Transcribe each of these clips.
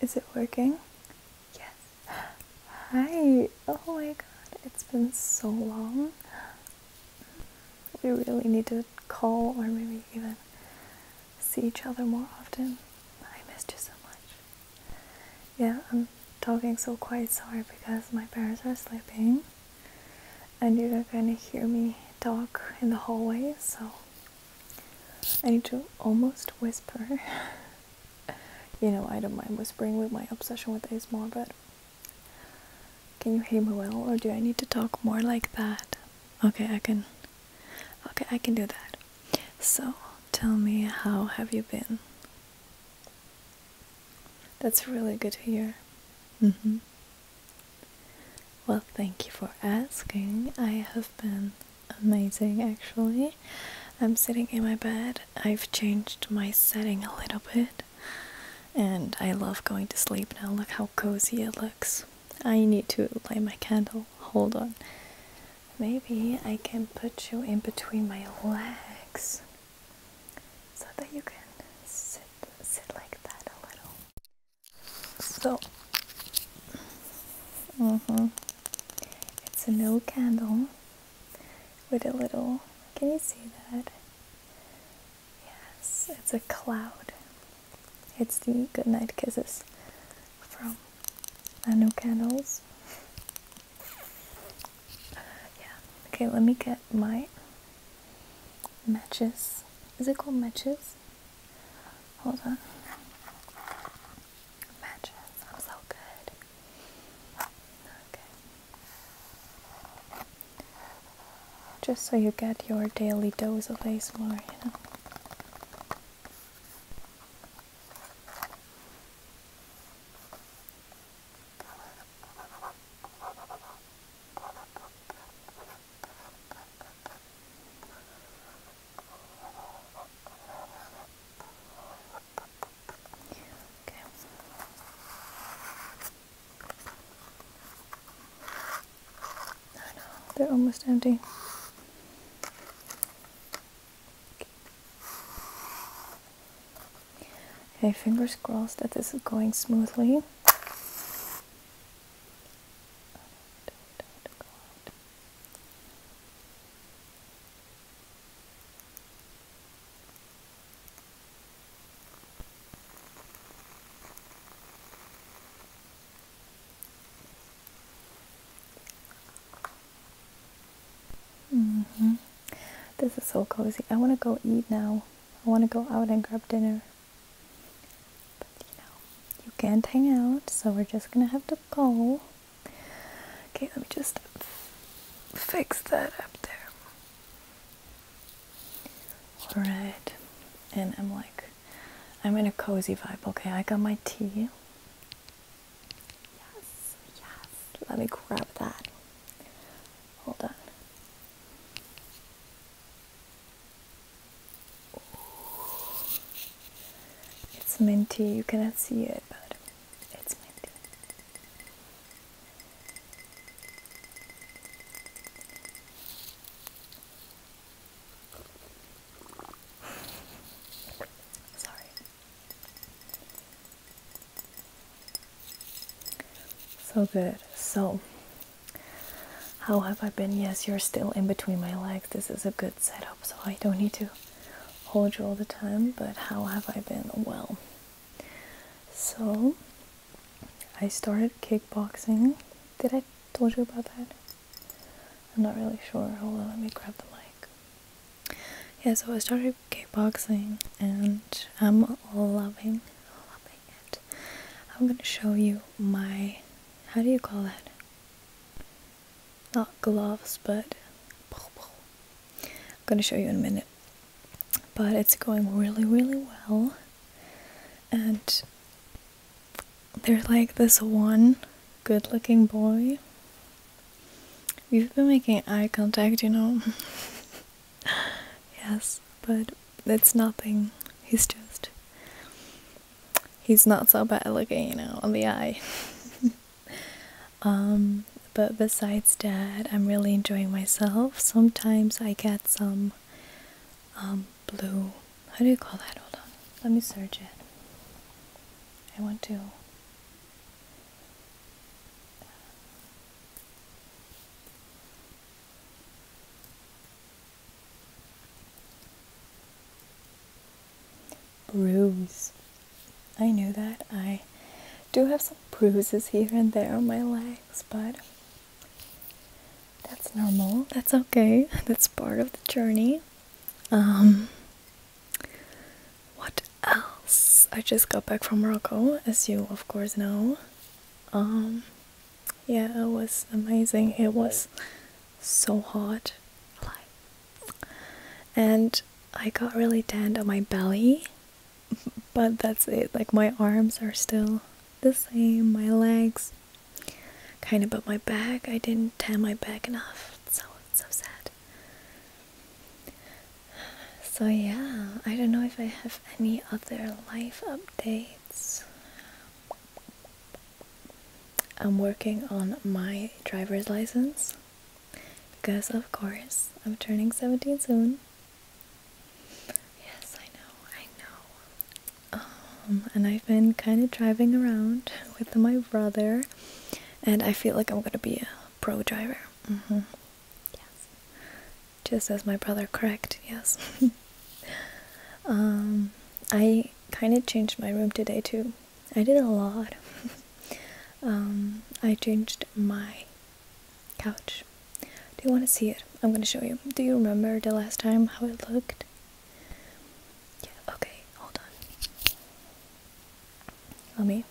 Is it working? Yes. Hi. Oh my god, it's been so long. We really need to call or maybe even see each other more often. I missed you so much. Yeah, I'm talking so quiet, sorry, because my parents are sleeping and you're gonna hear me talk in the hallway, so I need to almost whisper. you know, I don't mind whispering with my obsession with ASMR, but can you hear me well, or do I need to talk more like that? Okay, I can. Okay, I can do that. So, tell me, how have you been? That's really good to hear. Mm-hmm. Well, thank you for asking. I have been amazing actually. I'm sitting in my bed. I've changed my setting a little bit and I love going to sleep now. Look how cozy it looks. I need to light my candle. Hold on. Maybe I can put you in between my legs so that you can sit sit like that a little. So, mm -hmm. it's a no candle with a little. Can you see that? Yes, it's a cloud. It's the good night kisses from the no candles. yeah. Okay, let me get my matches. Is it called matches? Hold on. Matches. I'm so good. Okay. Just so you get your daily dose of ASMR, you know. Okay. No, no, they're almost empty. Okay, fingers crossed that this is going smoothly. -hmm. This is so cozy. I want to go eat now. I want to go out and grab dinner. But you know, you can't hang out, so we're just gonna have to go. Okay, let me just fix that up there. Alright, and I'm like, I'm in a cozy vibe. Okay, I got my tea. Yes, yes, let me grab that. Hold on. It's minty, you cannot see it, but it's minty. Sorry. So good. So how have I been? Yes, you're still in between my legs. This is a good setup, so I don't need to hold you all the time. But how have I been? Well, so I started kickboxing. Did I told you about that? I'm not really sure. Hold on, let me grab the mic. Yeah, so I started kickboxing and I'm loving, loving it. I'm gonna show you my, how do you call that? not gloves but I'm gonna show you in a minute but it's going really really well and there's like this one good looking boy we've been making eye contact you know yes but it's nothing he's just he's not so bad looking, you know, on the eye. Um, but besides that, I'm really enjoying myself. Sometimes I get some um, blue. How do you call that? Hold on. Let me search it. I want to. Bruise. I knew that. I do have some bruises here and there on my legs, but that's normal. That's okay. That's part of the journey. Um, what else? I just got back from Morocco, as you of course know. Um, yeah, it was amazing. It was so hot. Like, and I got really tanned on my belly, but that's it. Like, my arms are still the same, my legs kind of, but my back, I didn't tan my back enough. So, so sad. So, yeah, I don't know if I have any other life updates. I'm working on my driver's license because, of course, I'm turning 17 soon. Yes, I know, I know. Um, and I've been kind of driving around with my brother, and I feel like I'm gonna be a pro driver. Mm-hmm. Yes, just as my brother correct. Yes. um, I kind of changed my room today too. I did a lot. um, I changed my couch. Do you want to see it? I'm going to show you. Do you remember the last time how it looked? Yeah, okay, hold on. Let me.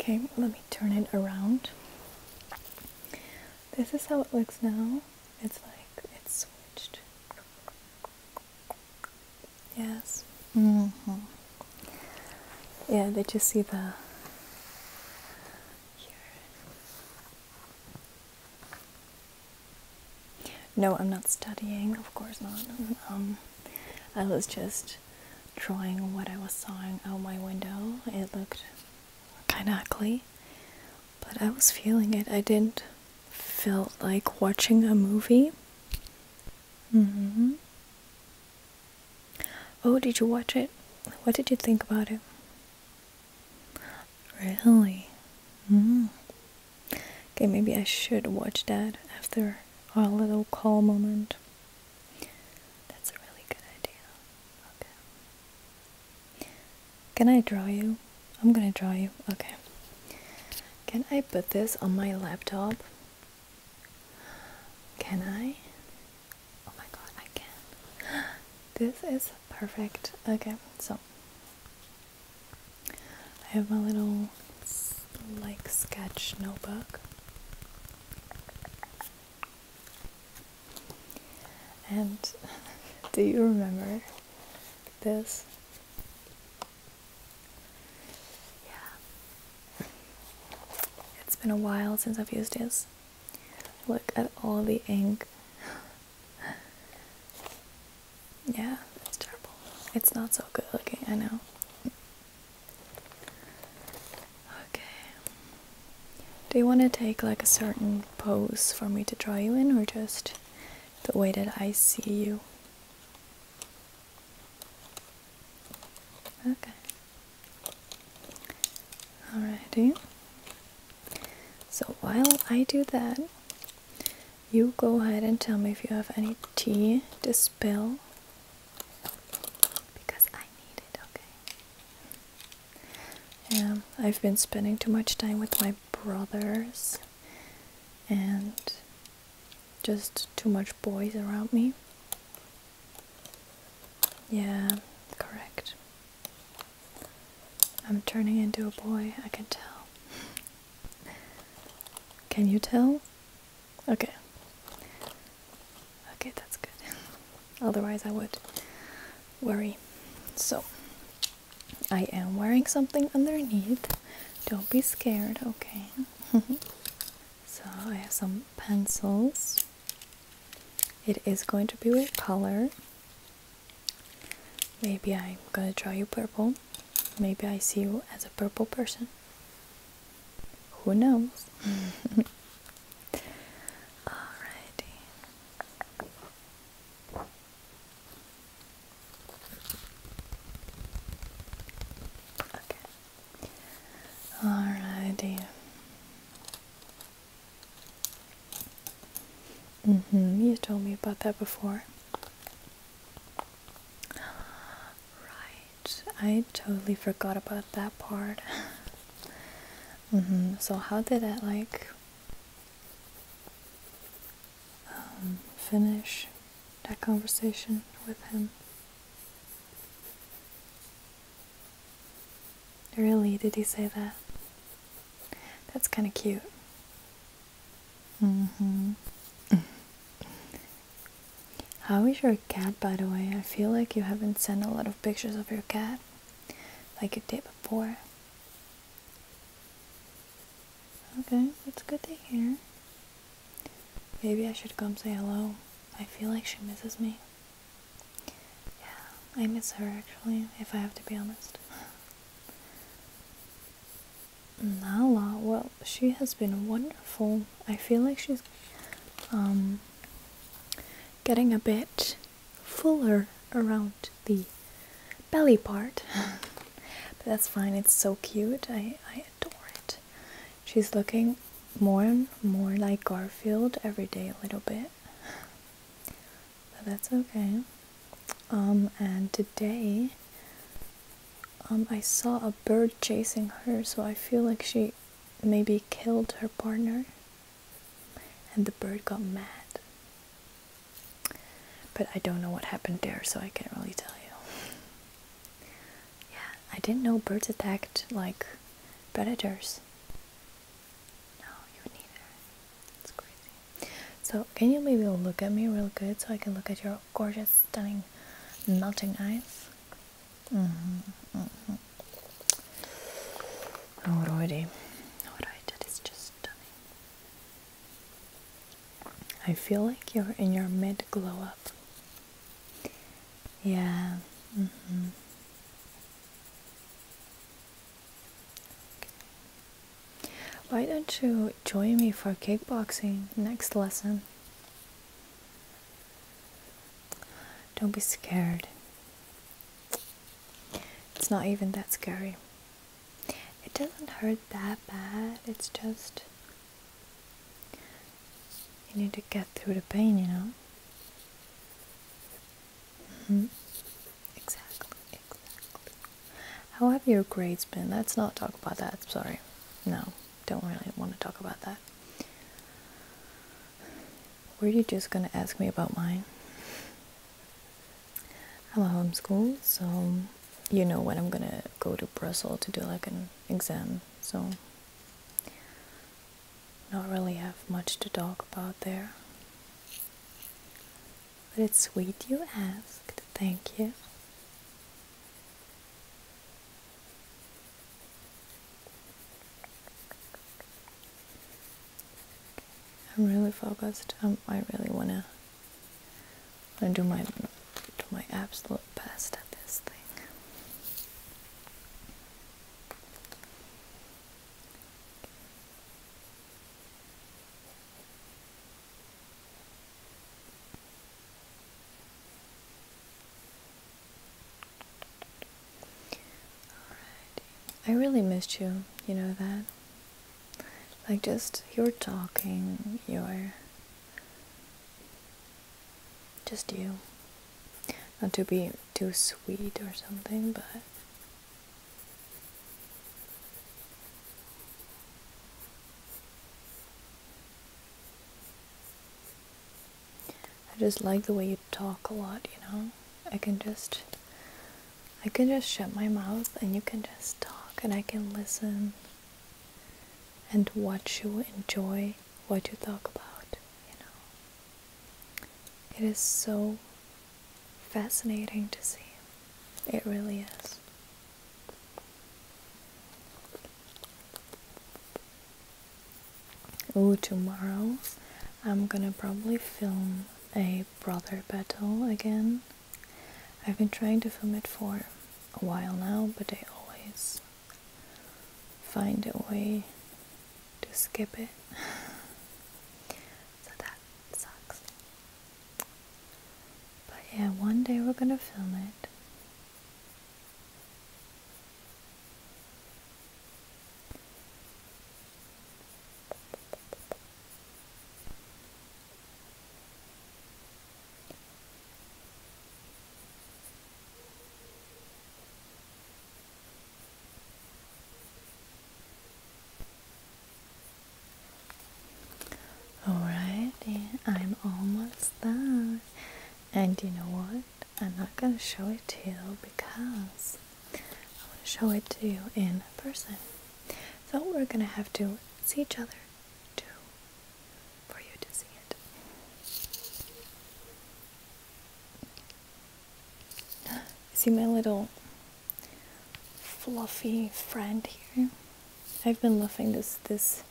Okay, let me turn it around. This is how it looks now. It's like it's switched. Yes. -hmm. Yeah, did you see the No, I'm not studying, of course not. Um I was just drawing what I was sawing out my window. It looked kind of ugly, but I was feeling it. I didn't feel like watching a movie. Mm hmm. Oh, did you watch it? What did you think about it? Really? Mm. Okay, maybe I should watch that after our little call moment. That's a really good idea. Okay. Can I draw you? I'm gonna draw you. Okay. Can I put this on my laptop? Can I? Oh my god, I can. This is perfect. Okay, so I have my little like sketch notebook and do you remember this? Yeah. It's been a while since I've used this. Look at all the ink. yeah, it's terrible. It's not so good looking, I know. Okay. Do you want to take like a certain pose for me to draw you in, or just the way that I see you? Okay. Alrighty. So while I do that, you go ahead and tell me if you have any tea Bill, because I need it, okay? Um, I've been spending too much time with my brothers and just too much boys around me. Yeah, correct. I'm turning into a boy, I can tell. Can you tell? Okay. Okay, that's good. Otherwise, I would worry. So, I am wearing something underneath. Don't be scared, okay? so, I have some pencils. It is going to be with color. Maybe I'm gonna draw you purple. Maybe I see you as a purple person. Who knows? Alrighty. Okay. Alrighty. Mm hmm. You told me about that before. Right. I totally forgot about that part. Mm-hmm. So how did I like um, finish that conversation with him? Really, did he say that? That's kind of cute. Mm-hmm. How is your cat, by the way? I feel like you haven't sent a lot of pictures of your cat like you did before. Okay, that's good to hear. Maybe I should come say hello. I feel like she misses me. Yeah, I miss her actually, if I have to be honest. Nala, Well. She has been wonderful. I feel like she's um, getting a bit fuller around the belly part. but that's fine, it's so cute. I, I adore it. She's looking more and more like Garfield every day a little bit. But that's okay. Um, and today um, I saw a bird chasing her, so I feel like she maybe killed her partner and the bird got mad. But I don't know what happened there, so I can't really tell you. Yeah, I didn't know birds attacked like predators. No, you neither. It's crazy. So, can you maybe look at me real good so I can look at your gorgeous, stunning, melting eyes. Mm -hmm, mm -hmm. Alrighty, alright, that is just stunning. I feel like you're in your mid glow up. Yeah. Mm-hmm. Why don't you join me for kickboxing next lesson? Don't be scared. It's not even that scary. It doesn't hurt that bad. It's just. You need to get through the pain, you know? Mm-hmm. Exactly, exactly. How have your grades been? Let's not talk about that, sorry. No don't really want to talk about that. Were you just gonna ask me about mine? I'm a homeschool, so you know when I'm gonna go to Brussels to do like an exam, so not really have much to talk about there. But it's sweet you asked, thank you. I'm really focused. Um, I really wanna want do my do my absolute best at this thing. I really missed you, you know that? Like, just you're talking, you're just you. Not to be too sweet or something, but. I just like the way you talk a lot, you know? I can just I can just shut my mouth and you can just talk and I can listen and watch you enjoy what you talk about, you know. It is so fascinating to see. It really is. Oh, tomorrow I'm gonna probably film a brother battle again. I've been trying to film it for a while now, but they always find a way to skip it. so that sucks. But yeah, one day we're gonna film it. Alrighty, I'm almost done. And you know what? I'm not going to show it to you because I want to show it to you in person. So we're going to have to see each other too for you to see it. See my little fluffy friend here? I've been loving this this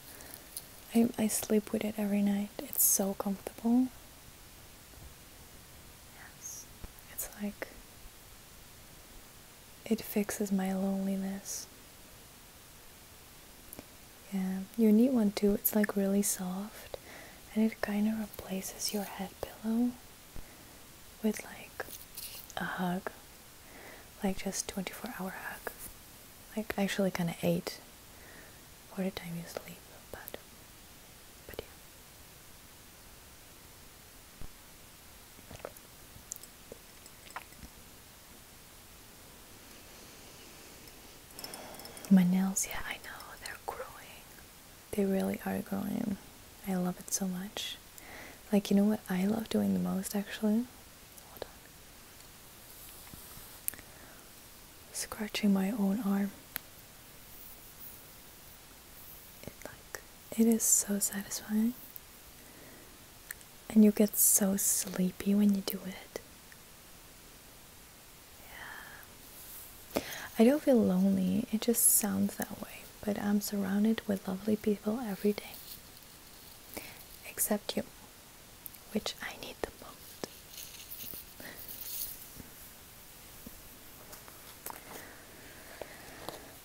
I, I sleep with it every night. It's so comfortable. Yes. It's like it fixes my loneliness. Yeah, you need one too. It's like really soft and it kind of replaces your head pillow with like a hug. Like just 24 hour hug. Like actually kind of 8 or time you sleep, but but yeah. My nails, yeah, I know they're growing. They really are growing. I love it so much. Like you know what I love doing the most actually Hold Scratching my own arm. It like it is so satisfying. And you get so sleepy when you do it. Yeah. I don't feel lonely, it just sounds that way, but I'm surrounded with lovely people every day. Except you which I need the most.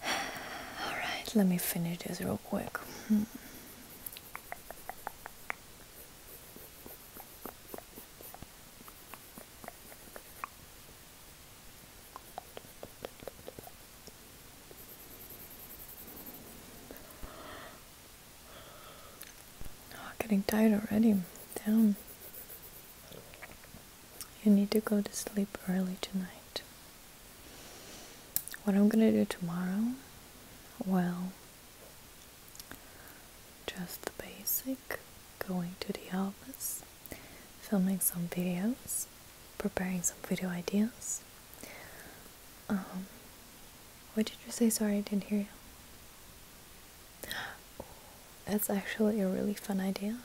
Alright, let me finish this real quick. Hmm getting tired already. Damn. You need to go to sleep early tonight. What I'm gonna do tomorrow, well, just basic going to the office, filming some videos, preparing some video ideas, um, what did you say? Sorry, I didn't hear you. that's actually a really fun idea.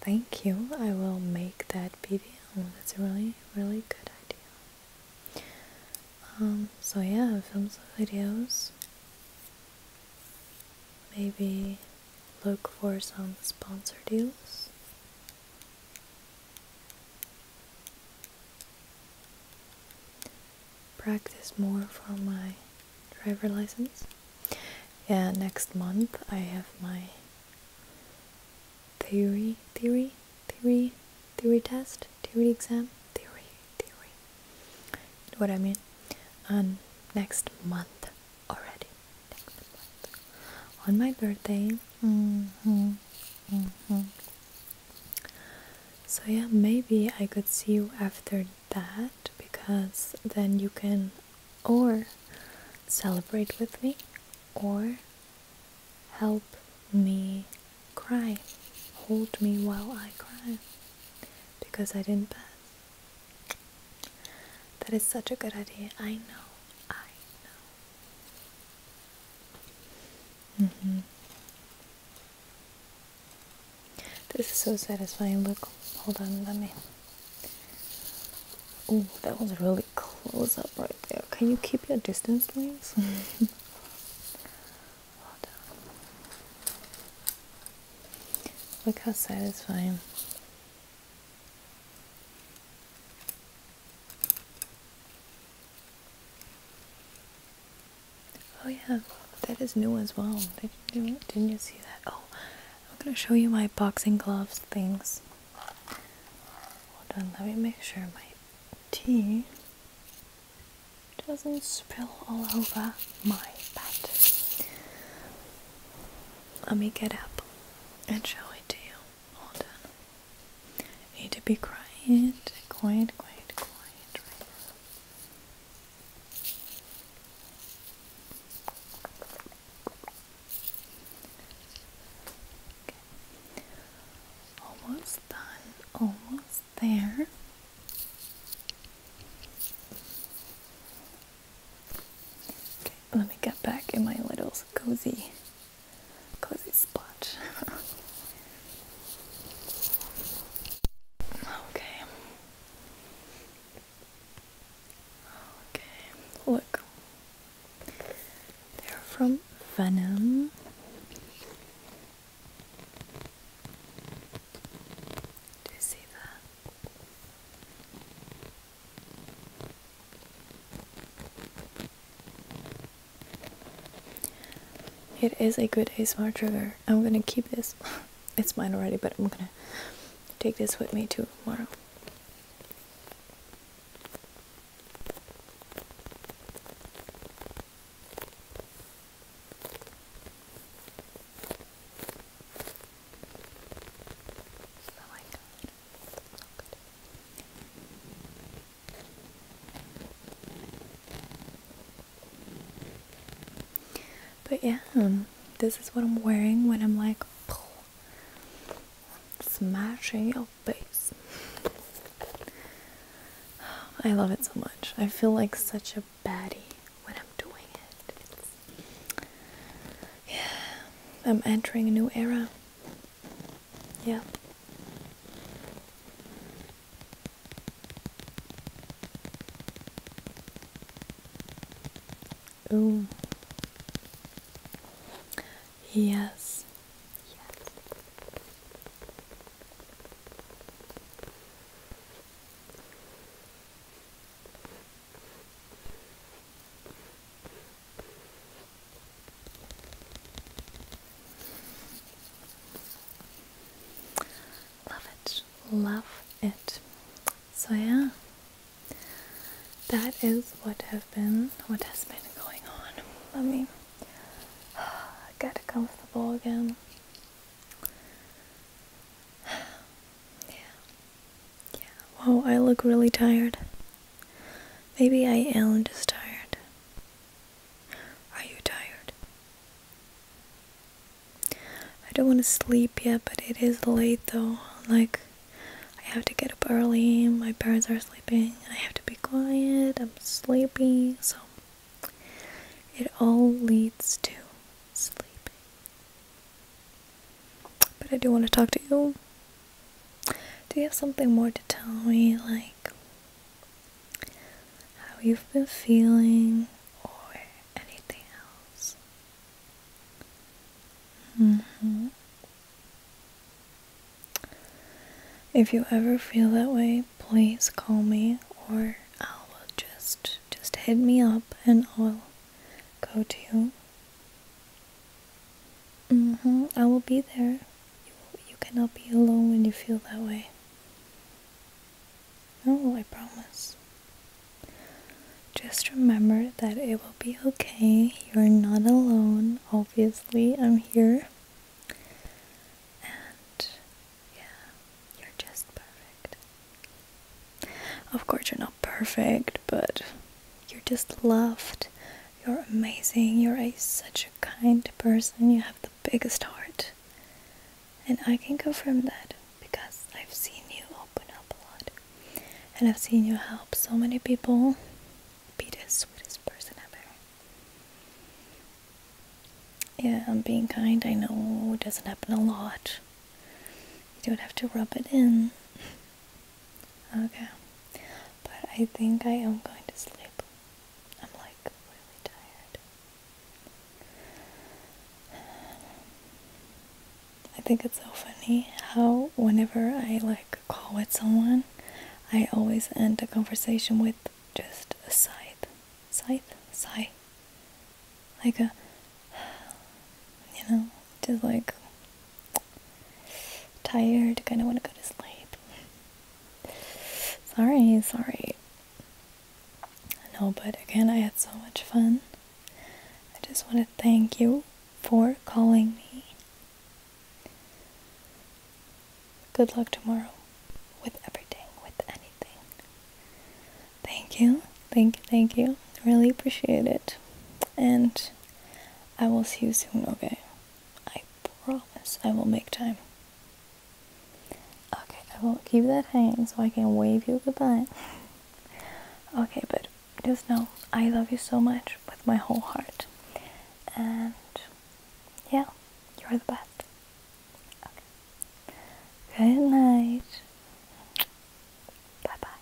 Thank you. I will make that video. That's a really, really good idea. Um, so yeah, film some videos. Maybe look for some sponsor deals practice more for my driver license. Yeah, next month I have my theory, theory, theory, theory test, theory exam, theory, theory. You know what I mean? On um, next month already on my birthday. Mm-hmm. Mm-hmm. So, yeah, maybe I could see you after that because then you can or celebrate with me or help me cry. Hold me while I cry because I didn't pass. That is such a good idea. I know. I know. Mm -hmm. This is so satisfying. Look, hold on, let me. Ooh, that was really close up right there. Can you keep your distance, please? hold on. Look how satisfying. Oh yeah, that is new as well. Did, not not you see that? Oh, I'm gonna show you my boxing gloves things. Hold on, let me make sure my tea doesn't spill all over my bed. Let me get up and show it to you all done. I need to be quiet, quiet, quiet, quiet Okay. Almost done, almost there. Okay, let me get back in my little cozy cozy spot. okay. Okay, look. They're from Venom. Do you see that? It is a good ASMR trigger. I'm gonna keep this. it's mine already, but I'm gonna take this with me to tomorrow. But yeah, um, this is what I'm wearing when I'm like smashing your face. I love it so much. I feel like such a baddie when I'm doing it. yeah, I'm entering a new era. Yeah. Oh. Yes. Love it, love it. So yeah, that is what has been, what has been going on. Let me get comfortable again. Yeah. Yeah, wow, I look really tired. Maybe I am just tired. Are you tired? I don't want to sleep yet, but it is late though. Like, I have to get up early, my parents are sleeping, I have to be quiet, I'm sleepy, so it all leads to sleeping. But I do want to talk to you. Do you have something more to tell me, like how you've been feeling or anything else? Mm-hmm. If you ever feel that way, please call me or I'll just just hit me up and I'll go to you. Mm hmm. I will be there. You, you cannot be alone when you feel that way. No, I promise. Just remember that it will be okay. You're not alone. Obviously, I'm here. And yeah, you're just perfect. Of course, you're not perfect, but you're just loved. You're amazing. You're a, such a kind person. You have the biggest heart. And I can confirm that because I've seen you open up a lot. And I've seen you help so many people be the sweetest person ever. Yeah, I'm being kind. I know it doesn't happen a lot. You don't have to rub it in. Okay. But I think I am going to sleep. I'm like really tired. I think it's so funny how whenever I like call with someone, I always end a conversation with just a sigh, sigh, Sigh. Like a, you know, just like tired, kind of want to go to sleep. Sorry, sorry. No, but again, I had so much fun. I just want to thank you for calling me. Good luck tomorrow with everything, with anything. Thank you, thank you, thank you. Really appreciate it. And I will see you soon, okay? I promise I will make time. Okay, I will keep that hanging so I can wave you goodbye. Okay, but just know I love you so much with my whole heart. And yeah, you're the best. Okay. Good night. Bye bye.